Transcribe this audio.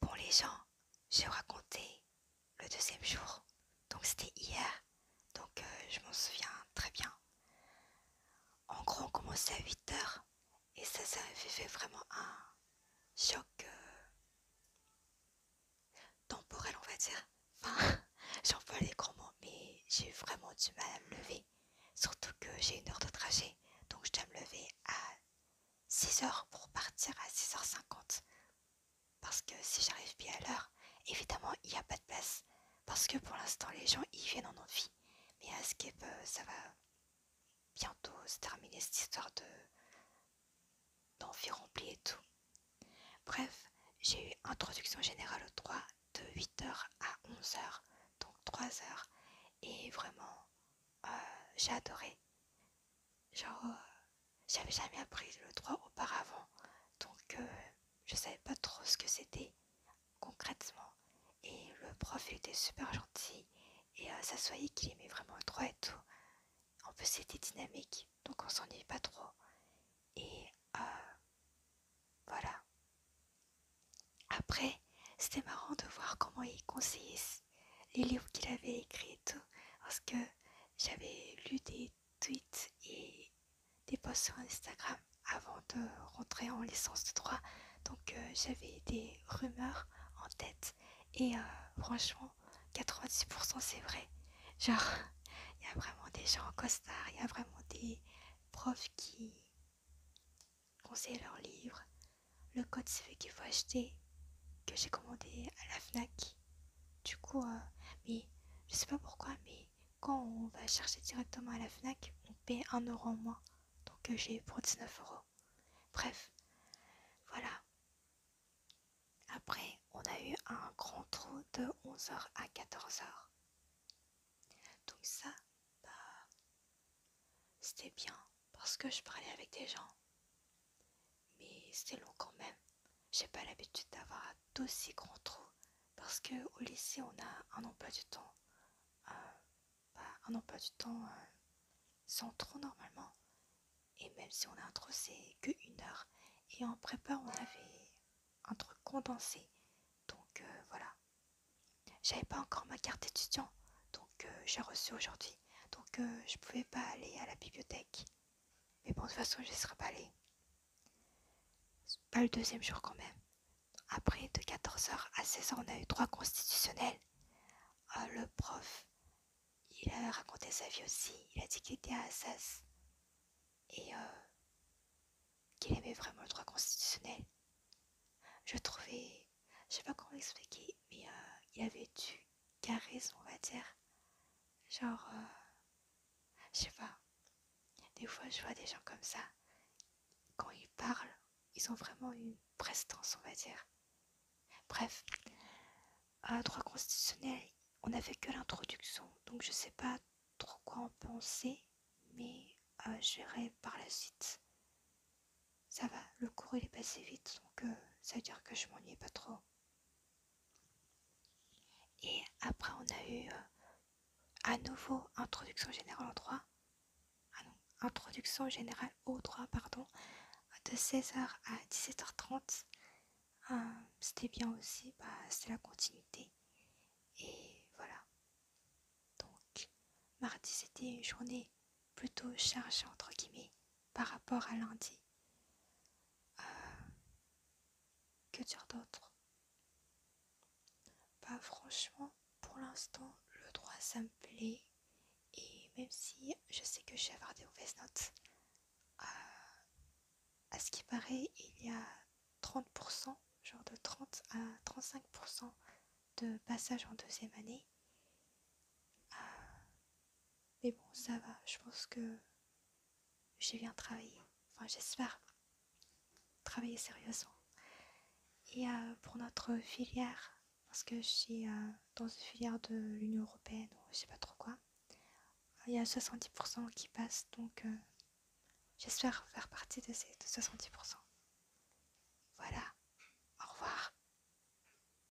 Pour les gens, j'ai raconté le deuxième jour, donc c'était hier, donc euh, je m'en souviens très bien. En gros, on commençait à 8 h et ça, ça avait fait vraiment un choc euh, temporel, on va dire. Enfin, j'en les grands mots, mais j'ai vraiment du mal à me lever. Surtout que j'ai une heure de trajet, donc je dois me lever à 6h pour partir à 6h50. Parce que si j'arrive bien à l'heure, évidemment il n'y a pas de place. Parce que pour l'instant les gens y viennent en envie. Mais à ce peu ça va bientôt se terminer cette histoire d'envie remplie et tout. Bref, j'ai eu introduction générale au droit de 8h à 11h, donc 3h. Et vraiment, euh, j'ai adoré. Genre, euh, j'avais jamais appris le droit auparavant, donc euh, je savais pas trop ce que c'était concrètement. Et le prof était super gentil et ça se qu'il aimait vraiment le droit et tout. En plus, c'était dynamique, donc on s'ennuyait pas trop. Et euh, voilà. Après, c'était marrant de voir comment il conseillait les livres qu'il avait écrits Parce que j'avais lu des tweets et des posts sur Instagram avant de rentrer en licence de droit. Donc euh, j'avais des rumeurs en tête. Et euh, franchement, 90% c'est vrai. Genre, il y a vraiment des gens en costard, il y a vraiment des profs qui conseillent leurs livres. Le code CV qu'il faut acheter, que j'ai commandé à la FNAC. Du coup, euh, mais je sais pas pourquoi, mais quand on va chercher directement à la FNAC, on paie un euro en moins. Donc euh, j'ai pour 19€. euros. Bref, voilà. Après, on a eu un grand trou de 11h à 14h. Donc ça, bah, c'était bien parce que je parlais avec des gens. Mais c'était long quand même. J'ai pas l'habitude d'avoir d'aussi grands trous parce qu'au lycée on a un emploi du temps, euh, bah, du temps euh, sans trou normalement. Et même si on a introduit que une heure, et en prépa on avait un truc condensé. Donc euh, voilà. J'avais pas encore ma carte étudiant, donc euh, j'ai reçu aujourd'hui. Donc euh, je pouvais pas aller à la bibliothèque. Mais bon, de toute façon, je ne serais pas allée. Pas le deuxième jour quand même. Après, de 14h à 16h, on a eu droit constitutionnels. Ah, le prof, il a raconté sa vie aussi. Il a dit qu'il était à Assas et euh, qu'il aimait vraiment le droit constitutionnel. Je trouvais, je sais pas comment expliquer mais euh, il avait du charisme, on va dire. Genre, euh, je sais pas. Des fois, je vois des gens comme ça quand ils parlent, ils ont vraiment une prestance, on va dire. Bref, à droit constitutionnel, on n'a fait que l'introduction, donc je ne sais pas trop quoi en penser, mais euh, j'irai par la suite. Ça va, le cours il est passé vite, donc euh, ça veut dire que je m'ennuie pas trop. Et après, on a eu euh, à nouveau introduction générale en droit, ah introduction générale au droit, pardon, de 16h à 17h30. Euh, c'était bien aussi, bah, c'était la continuité. Et voilà. Donc, mardi c'était une journée plutôt chargée entre guillemets par rapport à lundi. Euh, que dire d'autre Bah franchement, pour l'instant, le droit ça me plaît. Et même si je sais que je vais avoir des mauvaises notes, euh, à ce qui paraît, il y a 30%, genre de 30 à 35% de passage en deuxième année. Euh, mais bon, ça va, je pense que je viens travailler. Enfin, j'espère travailler sérieusement. Et euh, pour notre filière, parce que je suis euh, dans une filière de l'Union Européenne ou je sais pas trop quoi, il y a 70% qui passent, donc euh, j'espère faire partie de ces 70%. Voilà, au revoir.